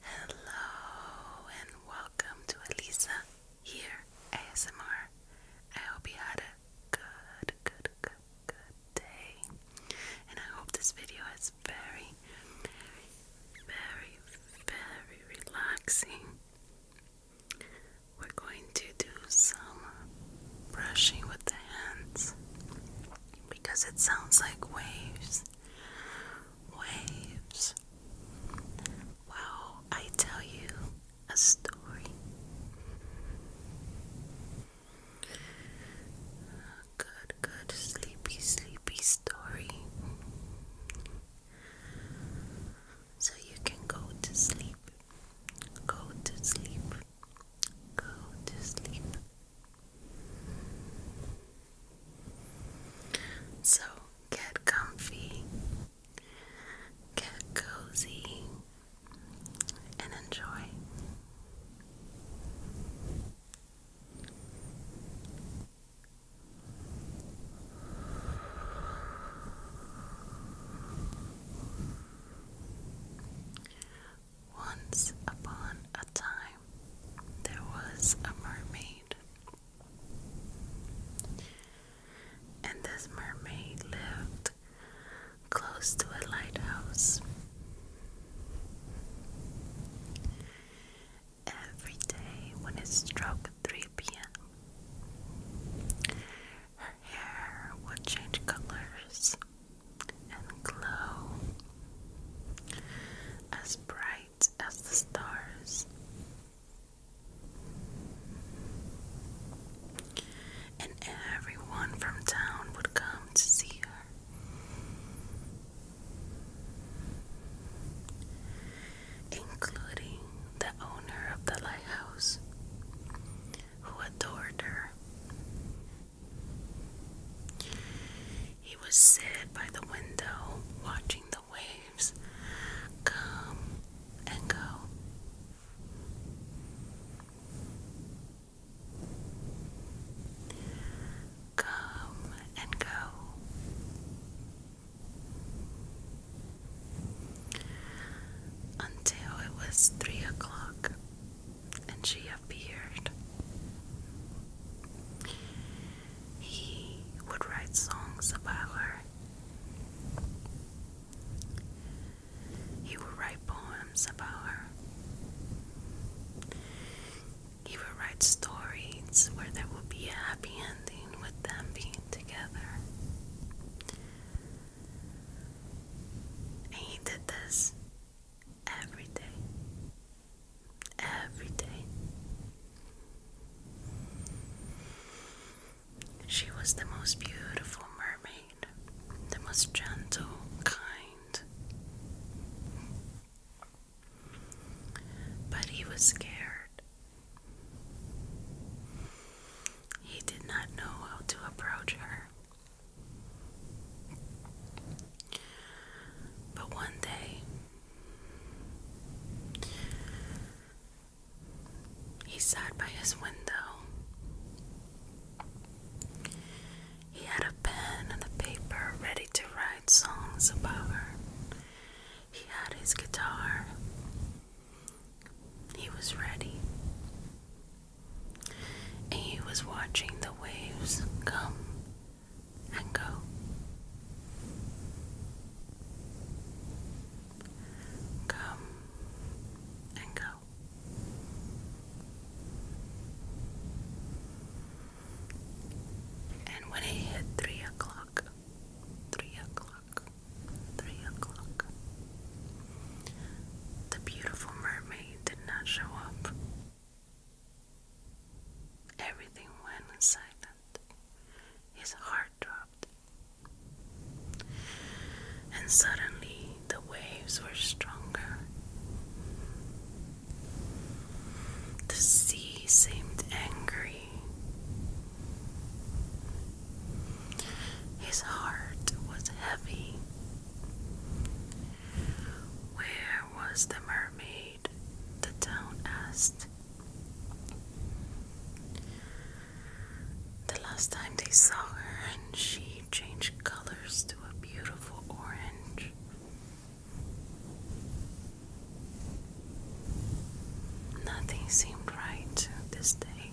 Hello and welcome to Elisa here ASMR. I hope you had a good, good, good, good day. And I hope this video is very, very, very, very relaxing. We're going to do some brushing with the hands because it sounds like waves waves while I tell you a story. Good, good, sleepy, sleepy story. So you can go to sleep. Go to sleep. Go to sleep. So get comfy, get cozy, and enjoy. Once upon a time, there was a mermaid. And this mermaid lived close to a lighthouse. Every day, when it struck 3 p.m., her hair would change colors and glow as bright as the stars. And everyone from town would come to see her. Including the owner of the lighthouse, who adored her he was sit by the window watching the waves come and go. Come and go until it was three o'clock and she appeared. He would write songs about her. He would write poems about her. He would write stories where there would be a happy ending with them being together. And he did this every day every day. She was the most beautiful mermaid, the most gentle, kind. But he was scared. He did not know how to approach her. But one day, he sat by his window. He had a pen and a paper ready to write songs about her. He had his guitar. He was ready and he was watching the waves come and go. Come and go. And when it hit three o'clock, three o'clock, three o'clock, the beautiful mermaid did not show up. Everything went silent. His heart dropped. And suddenly the waves were stronger. The sea seemed angry. His heart was heavy. Where was the mermaid? the town asked. The last time they saw her, and she changed colors to a beautiful orange. Nothing seemed right this day.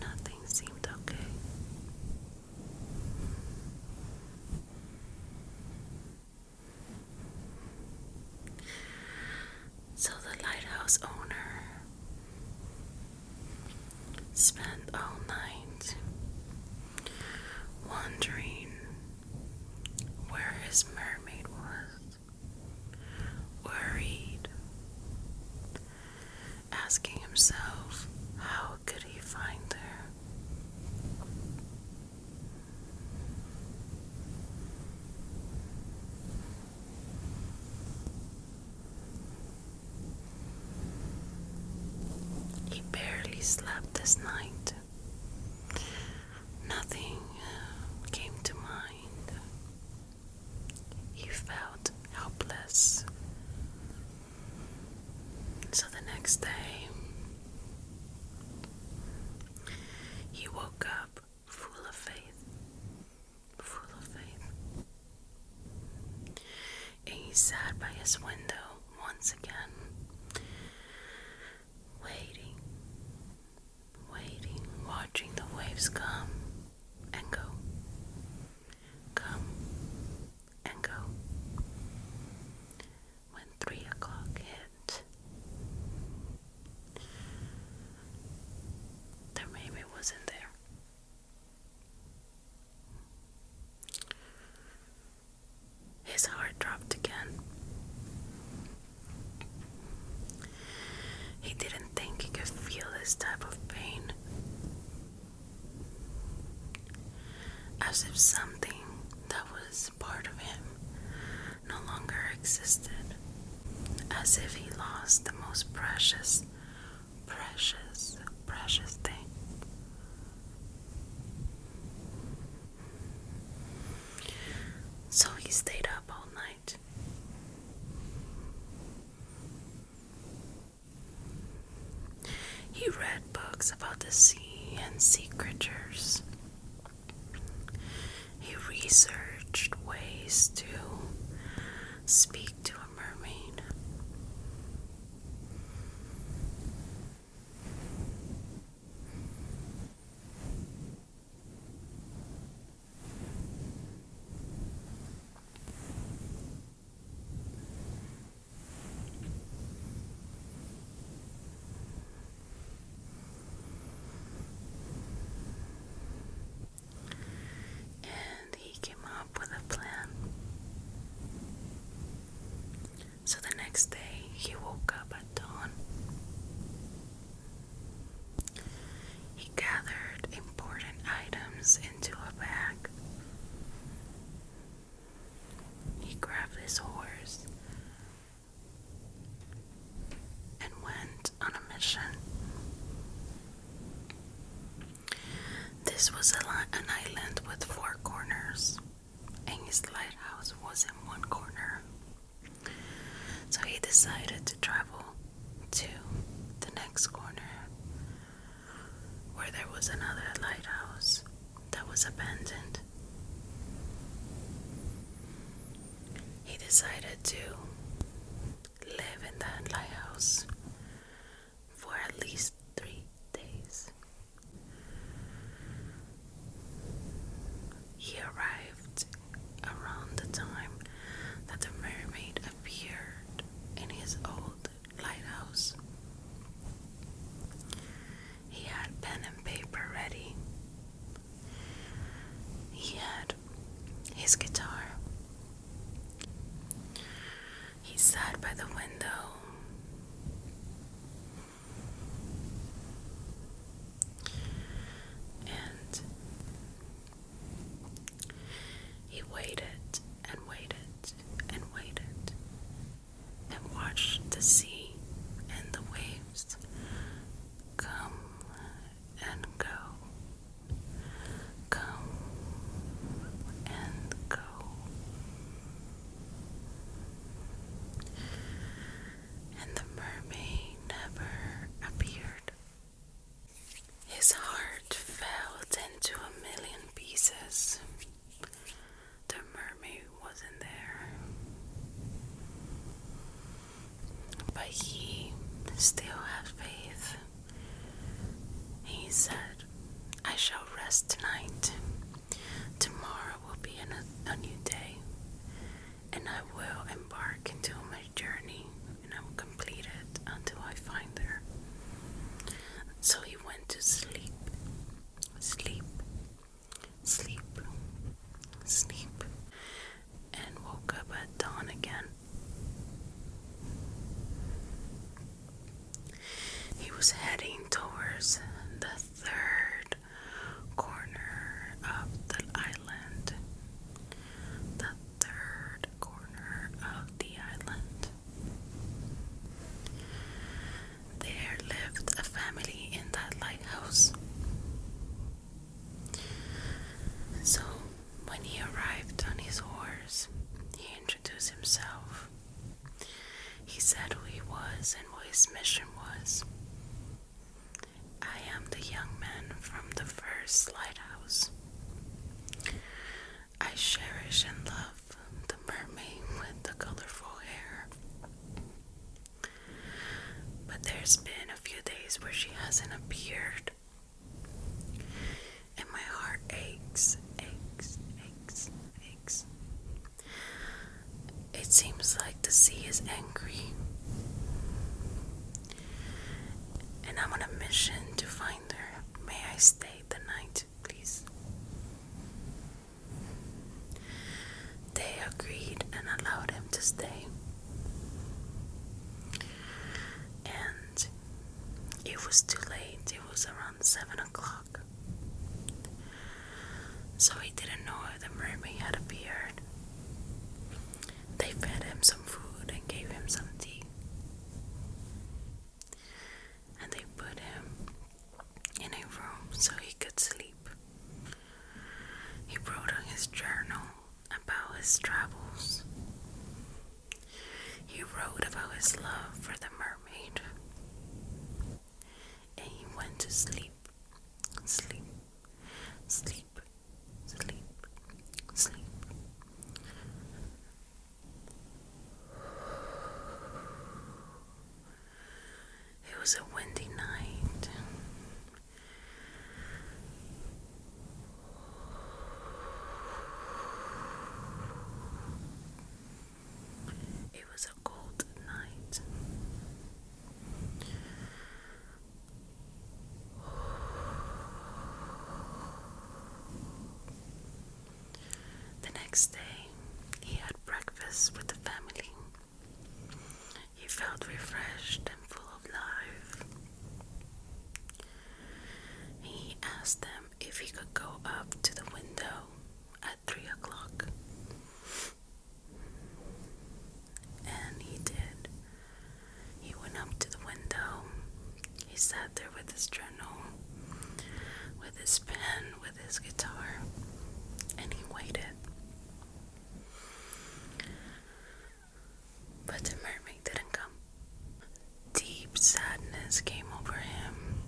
Nothing seemed okay. So the lighthouse owner spent all night wondering where his mermaid was, worried asking himself how could he find her. He barely slept this night. Nothing uh, came to mind. He felt helpless. So the next day, he woke up full of faith, full of faith. And he sat by his window once again, waiting, waiting, watching the waves come and go. Come and go. When three o'clock hit, there maybe wasn't there. His heart dropped again. He didn't think he could feel this type of pain. As if something that was part of him no longer existed. As if he lost the most precious, precious, precious thing. So he stayed up all night. He read books about the sea and sea He researched ways to speak to a mermaid. And he came up with a plan. So the next day he woke up at dawn he gathered important items into a bag. He grabbed his horse and went on a mission. This was an island with four corners, and his lighthouse was in one corner. So he decided to travel to the next corner where there was another lighthouse that was abandoned. He decided to live in that lighthouse for at least three days. He arrived around the time that the mermaid appeared in his old lighthouse. He had pen and paper ready. He had his guitar. He sat by the window. And he waited and waited and waited and watched the sea and the waves come and go, come and go and the mermaid never appeared. His heart fell into a million pieces. The mermaid wasn't there. But he still had faith. He said, I shall rest tonight. Tomorrow will be a new day and I will embark into my journey and I will complete it until I find her. So he went to sleep, sleep, sleep, sleep, and woke up at dawn again. He was heading towards the third corner of the island. The third corner of the island. There lived a family in that lighthouse. So, when he arrived on his horse, he introduced himself. He said who he was and what his mission was. I am the young man from the first lighthouse. I cherish and love the mermaid with the colorful hair. But there's been a few days where she hasn't appeared. And my heart aches, aches, aches, aches. It seems like the sea is angry. And I'm on a mission to find her. May I stay the night, please? They agreed and allowed him to stay. And it was too late, it was around 7 o'clock so he didn't know the mermaid had appeared. They fed him some food and gave him some tea. And they put him in a room so he could sleep. He wrote on his journal about his travels. He wrote about his love for the mermaid. And he went to sleep sleep, sleep, sleep, sleep, It was a windy night. It was cold night. The next day, he had breakfast with the family. He felt refreshed and full of life. He asked them if he could go up to the window three o'clock. And he did. He went up to the window. He sat there with his journal, with his pen, with his guitar, and he waited. But the mermaid didn't come. Deep sadness came over him.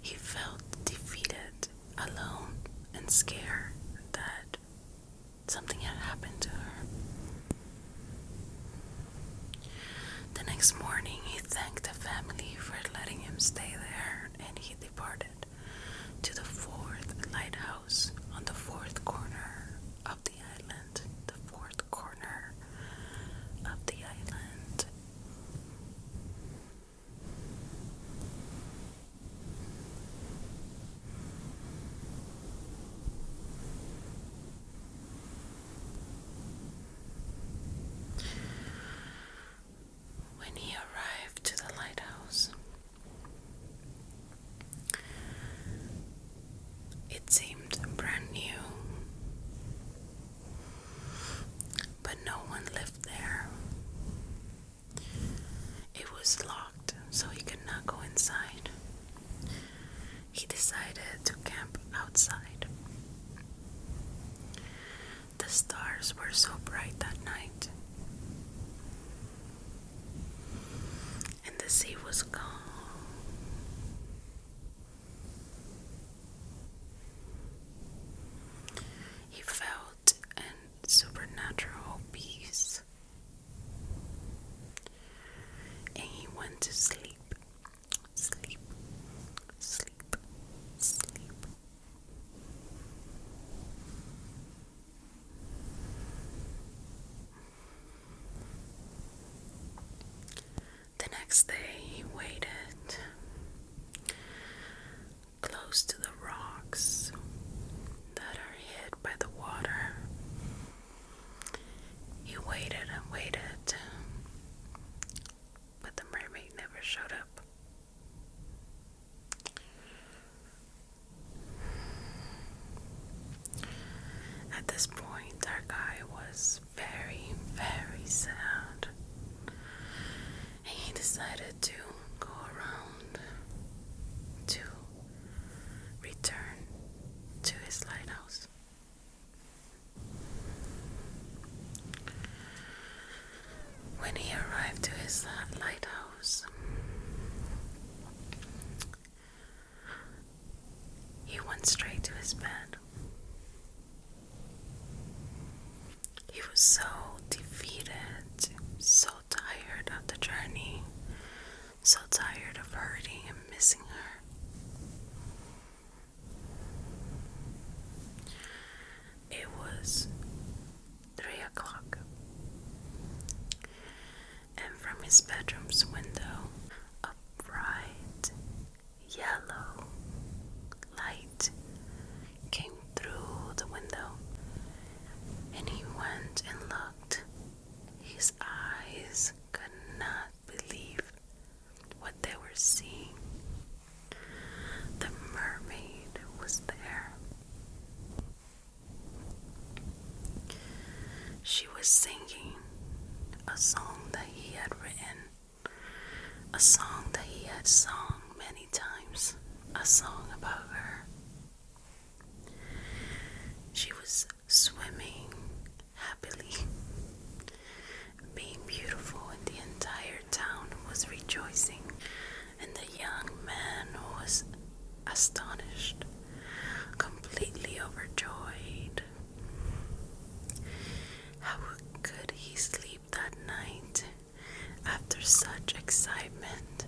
He felt defeated alone and scared that something had happened to her. The next morning, he thanked the family for letting him stay there and he departed to the fourth lighthouse on the fourth corner of the island. The fourth corner of the island. When he arrived to the lighthouse, it seemed brand new but no one lived there. It was locked, so he could not go inside. He decided to camp outside. The stars were so bright that night, and the sea was calm. He felt a supernatural peace and he went to sleep, sleep, sleep, sleep. The next day he waited close to the rocks that are hid by the water. He waited and waited, but the mermaid never showed up. At this point, our guy was very, very sad. He decided to go around to return to his lighthouse. When he arrived to his lighthouse, he went straight to his bed. He was so defeated, so tired of the journey, so tired of hurting and missing her. It was three o'clock, and from his bedroom's window, a bright yellow light came through the window, and he went and looked. His eyes could not believe what they were seeing. The mermaid was there. She was singing a song that he had written a song that he had sung many times, a song about her. She was swimming happily, being beautiful, and the entire town was rejoicing. And the young man was astonished, completely overjoyed. How could he sleep that night after such excitement?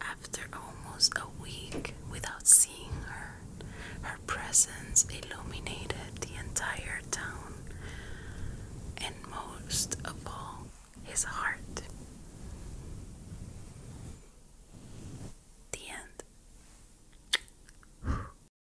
After almost a week without seeing her, her presence illuminated the entire town and most of all his heart. The end.